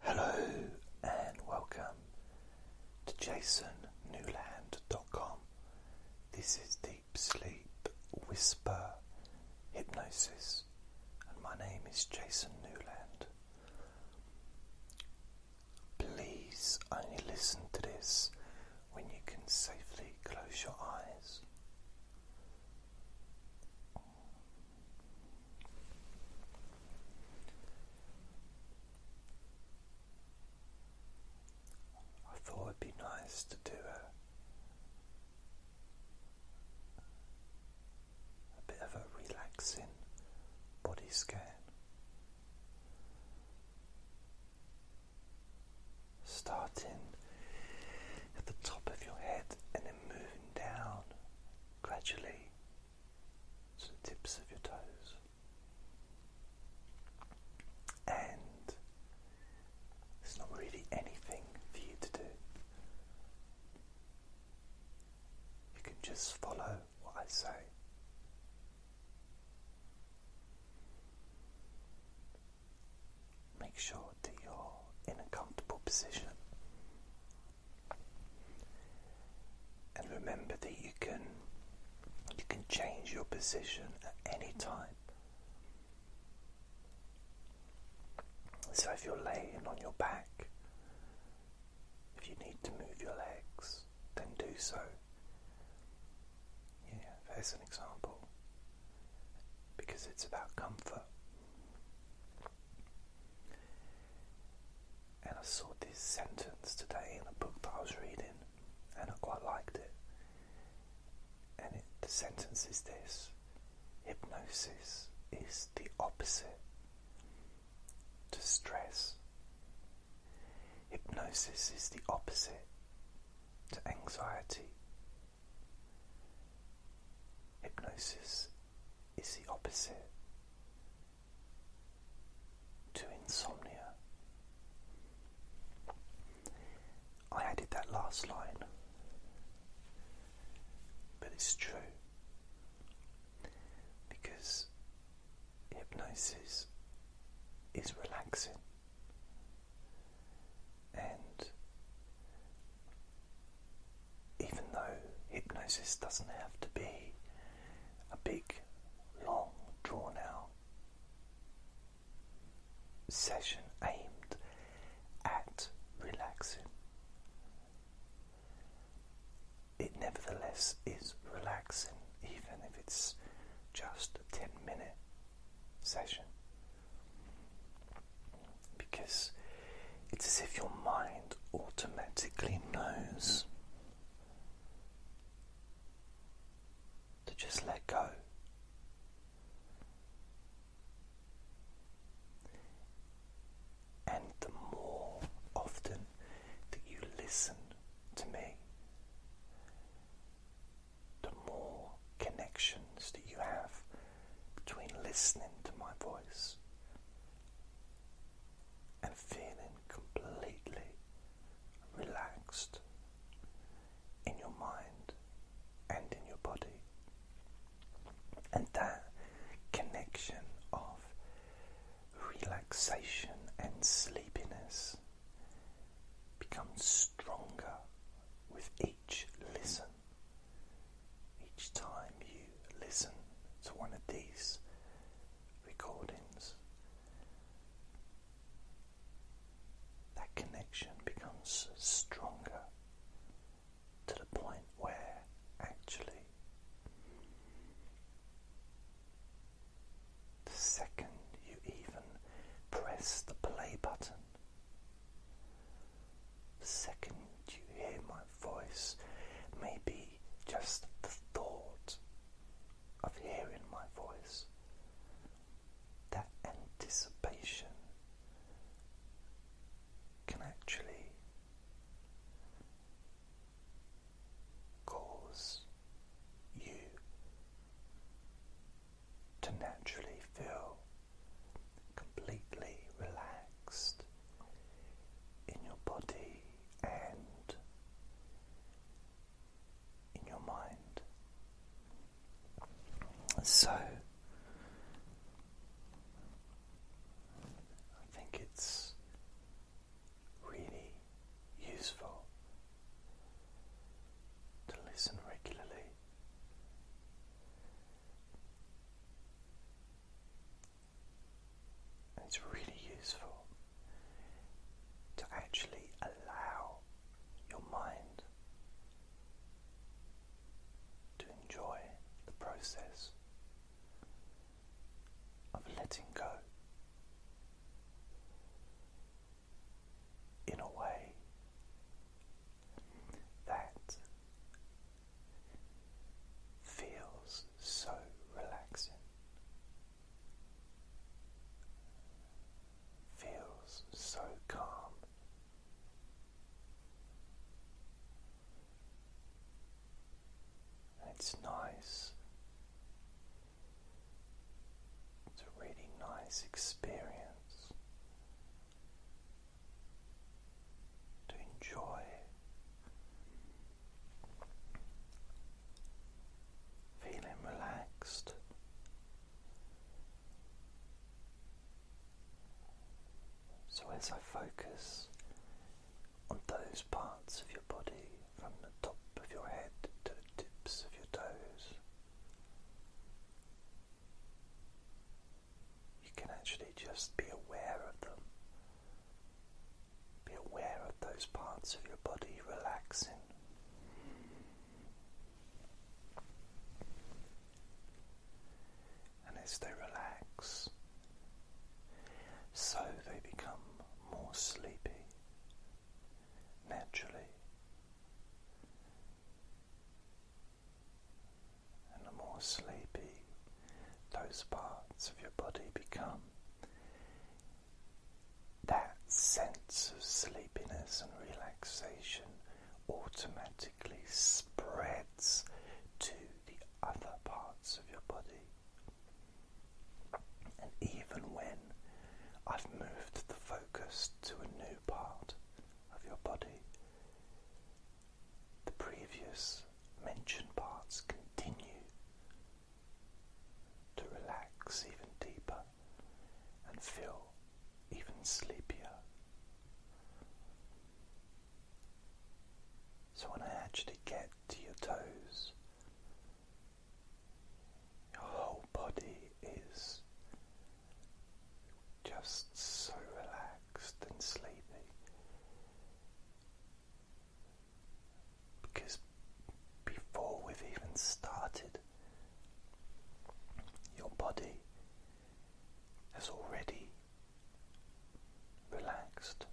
Hello and welcome to jasonnewland.com. This is Deep Sleep Whisper Hypnosis, and my name is Jason Newland. Please only listen to this when you can safely close your eyes. I thought it'd be nice to do a, a bit of a relaxing body scan. Starting at the top of your head and then moving down gradually to the tips of your toes. And there's not really anything for you to do. You can just follow what I say. Make sure that you're in a comfortable position and remember that you can you can change your position at any time. So if you're laying on your back, if you need to move your legs, then do so. Yeah, there's an example. Because it's about comfort. And I saw this sentence today in a book that I was reading, and I quite liked it. And the sentence is this Hypnosis is the opposite to stress. Hypnosis is the opposite to anxiety. Hypnosis is the opposite to insomnia. I added that last line, but it's true because hypnosis is relaxing and even though hypnosis doesn't have to be a big, long, drawn out session aimed at relaxing, it nevertheless is relaxing, even if it's just a 10 minute session because it's as if your mind automatically knows to just let go. And the more often that you listen to me, the more connections that you have between listening to my voice and feeling completely relaxed in your mind and in your body. And that connection of relaxation and sleepiness becomes stronger with each listen each time you listen to one of these recordings. That connection becomes stronger to the point where actually the second you even press the play button, the second you hear my voice, maybe just the thought of hearing my voice, that anticipation can actually cause you to naturally feel completely relaxed in your body and in your mind. So, I think it's really useful to listen regularly it's really useful to actually allow your mind to enjoy the process of letting go in a way that feels so relaxing. Feels so calm. And it's nice. It's a really nice experience to enjoy feeling relaxed. So, as I focus on those parts of your body from the top of your head to the tips of your toes, you can actually just be aware of them. Be aware of those parts of your body relaxing. And as they relax, so they become more sleepy naturally and the more sleepy those parts of your body become, that sense of sleepiness and relaxation automatically spreads to the other parts of your body. And even when I've moved the focus to a new part of your body, the previous mentioned parts continue to relax even deeper and feel even sleepier. So, when I actually get to your toes, your whole body is just so relaxed and sleepy because before we've even started, your body has already relaxed.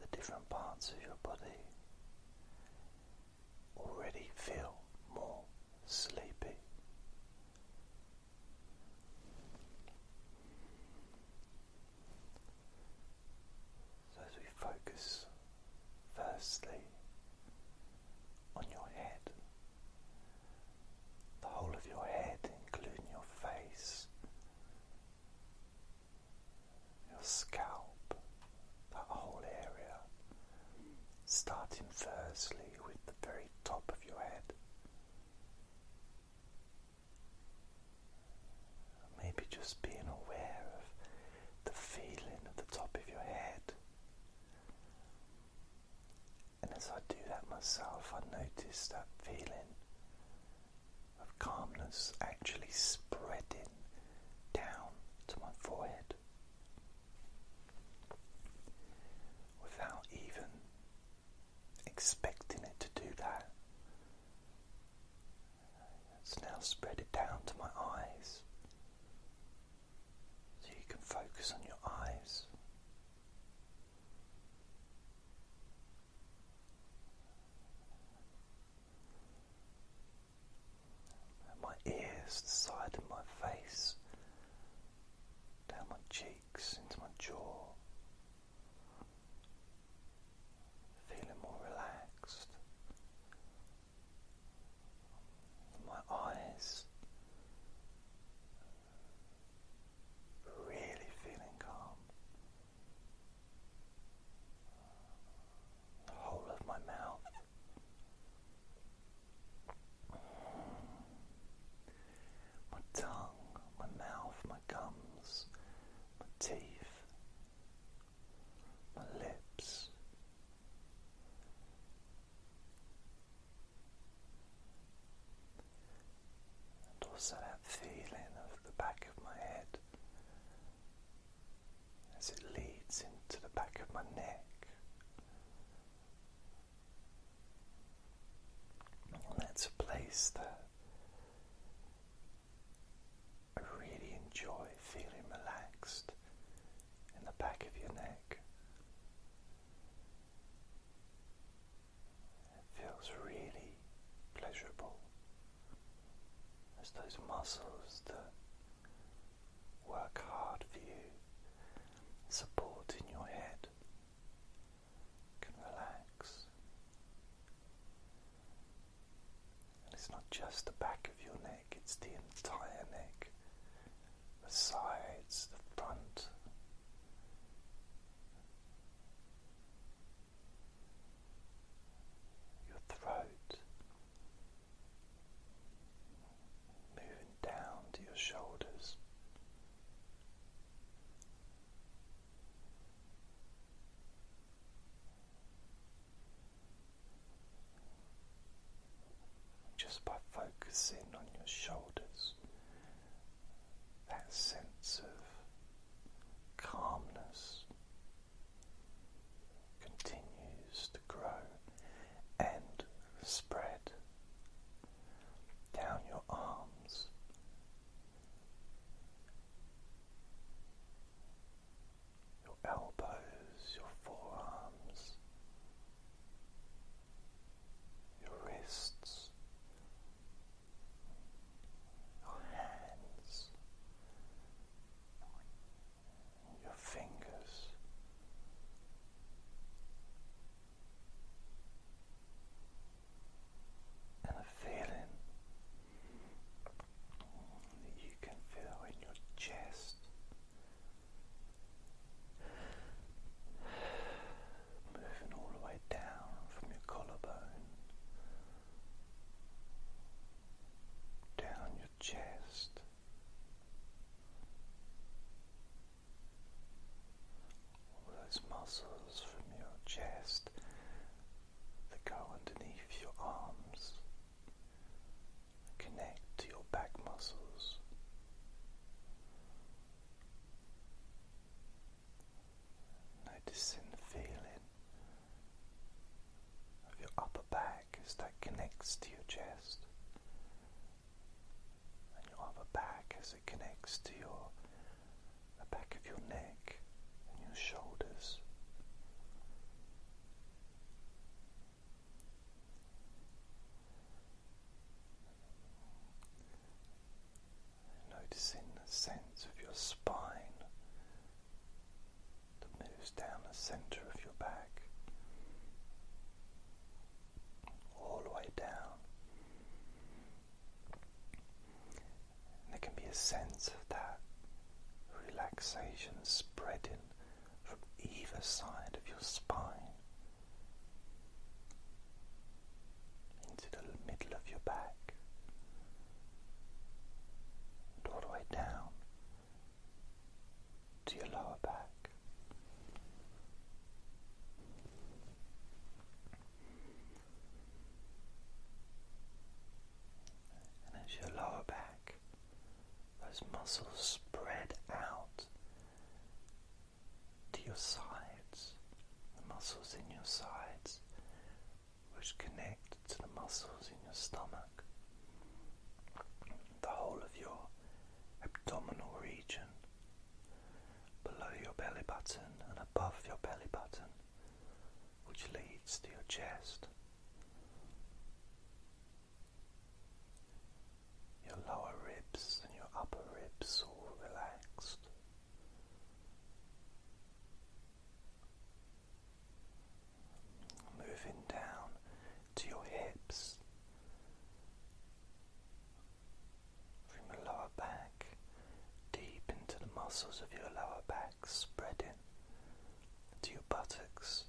The different parts of your body already feel more sleepy. So, as we focus firstly on your head, the whole of your head, including your face, your scalp, that whole area, starting firstly with the very top of your head. Maybe just being aware of the feeling of the top of your head. And as I do that myself, I notice that feeling of calmness actually spreading down to my forehead without even expecting it to do that. It's now spread it down to my eyes so you can focus on your eyes my ears, the side of my face, down my cheeks, into my jaw, feeling more relaxed. My eyes really feeling calm the whole of my mouth. My tongue, my mouth, my gums, my teeth, my lips. And also that feeling of the back of my head as it leads into the back of my neck. And that's a place that I really enjoy feeling relaxed in the back of your neck. It feels really pleasurable. It's those muscles that work hard for you, supporting your head, can relax. And it's not just the back of your neck, it's the entire neck, the sides, the front. Your throat, moving down to your shoulders. Just by focusing on your shoulders, that sense of calmness continues to grow and spread down your arms. Your elbows, your forearms, your wrists, your hands, your fingers. And a feeling that you can feel in your chest moving all the way down from your collarbone down your chest, all those muscles from your chest that go underneath your arms connect to your back muscles. Noticing the feeling of your upper back as that connects to your chest, and your upper back as it connects to your the back of your neck and your shoulders. Noticing the sense of your spine that moves down the center of your back, all the way down. there can be a sense of that relaxation spreading from either side of your spine into the middle of your back all the way down to your lower back. And as your lower back, those muscles spread out to your sides, the muscles in your sides which connect to the muscles in your stomach, the whole of your abdominal region, below your belly button and above your belly button, which leads to your chest. Your lower ribs and your upper ribs all relaxed. Moving down to your hips, from your lower back, deep into the muscles of your lower back, spreading to your buttocks,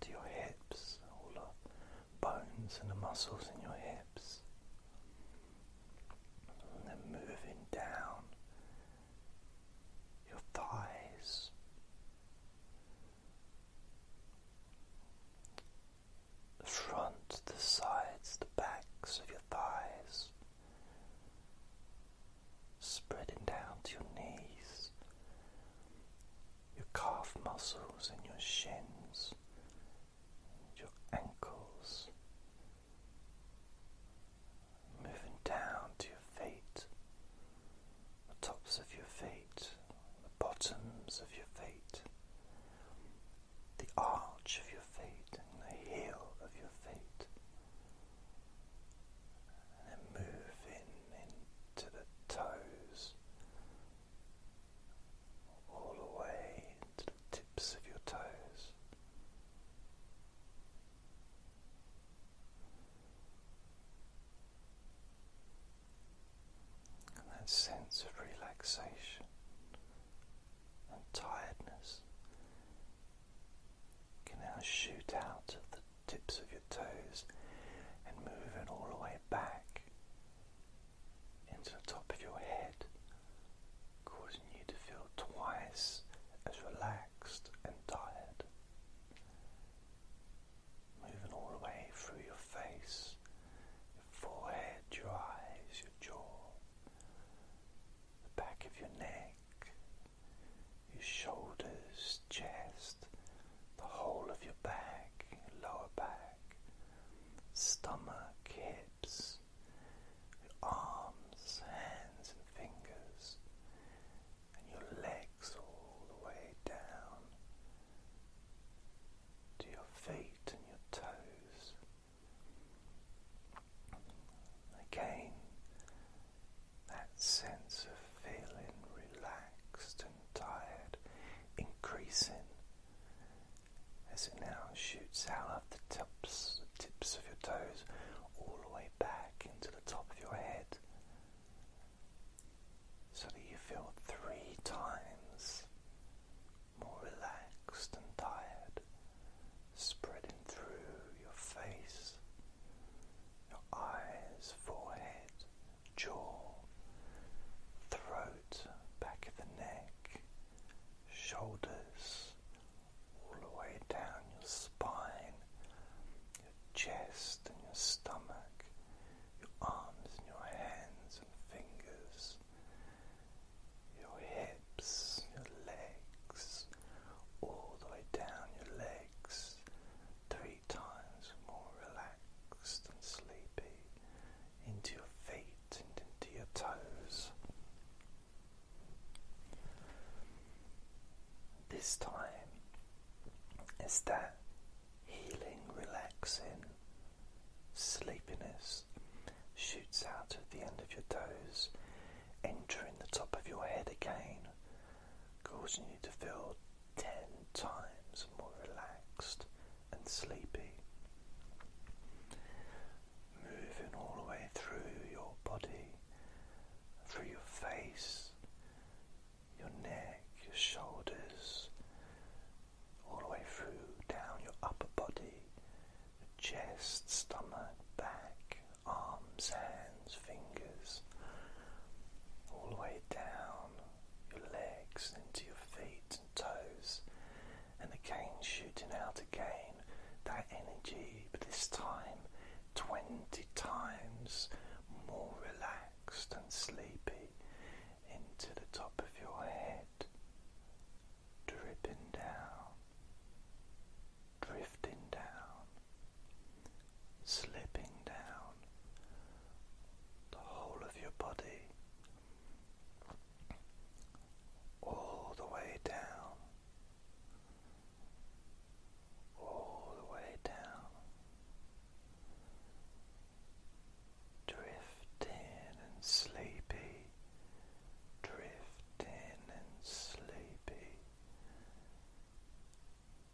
to your hips, all the bones and the muscles in your hips. And then moving down your thighs. The front, the sides, the backs of your thighs, spreading down to your knees, your calf muscles, and your shins, your ankles, Moving down to your feet, the tops of your feet, the bottoms of your feet, the arch of your feet, and the heel of your feet, and then moving into the toes, all the way to the tips of your toes. And that sense of relaxation and tiredness can now shoot out of the tips of your toes and move it all the way back into the top of your head causing you to feel twice as relaxed and tired. Moving all the way through your face, your forehead, your eyes, your jaw, the back of your neck, your shoulders, chest, the whole of your back, lower back, stomach, hips, your arms, hands, and fingers, and your legs all the way down to your feet and your toes. Again, that sense of feeling relaxed and tired increasing as it now shoots out of the tips, tips of your toes all the way back into the top of your head so that you feel three times more relaxed and tired, spreading through your face, your eyes, forehead, jaw, throat, back of the neck, shoulders, all the way down your spine, your chest and your stomach, your arms and your hands and fingers, your hips, your legs, all the way down your legs, three times more relaxed and sleepy, into your feet and into your toes. This time is that healing, relaxing sleepiness shoots out at the end of your toes, entering the top of your head again, causing you to feel ten times more relaxed and sleepy moving all the way through your body, through your face, your neck, your shoulders, all the way through, down your upper body, chest, stomach, back, arms, hands, fingers, all the way down your legs and into your feet and toes and again shooting out again that energy, but this time 20 times more relaxed and sleepy into the top of your head, dripping down, drifting down, slipping down the whole of your body all the way down, all the way down, drifting and sleepy, drifting and sleepy,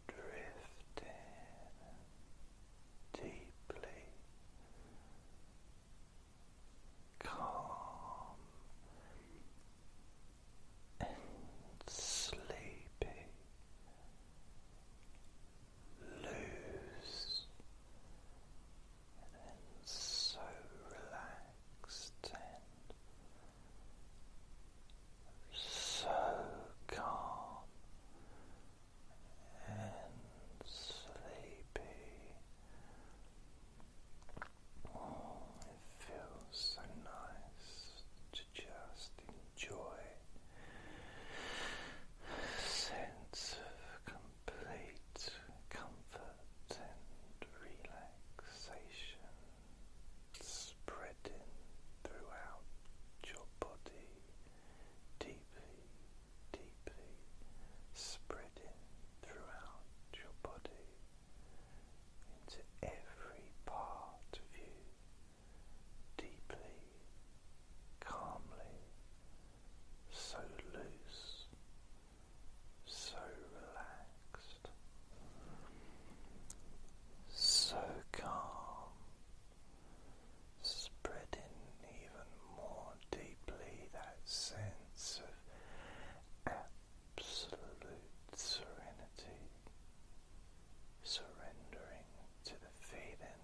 drifting deeply calm and sleepy. Loose and so relaxed and so calm and sleepy. Oh, it feels so nice to just enjoy a sense of complete comfort and relaxation spreading throughout your body deeply deeply spreading throughout your body into every part of you, deeply, calmly, so loose, so relaxed, so calm, spreading even more deeply that sense of absolute serenity, surrendering to the feeling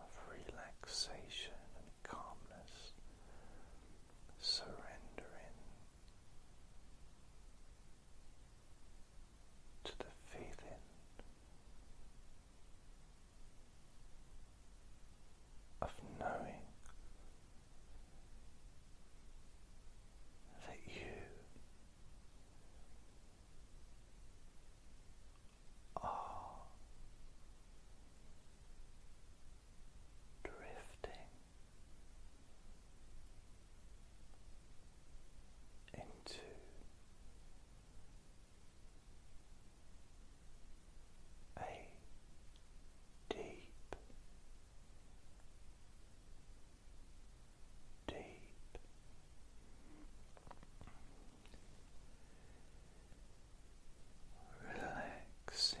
of relaxation and calmness, surrendering to the feeling of knowing that you are drifting into a deep, deep relaxing sleep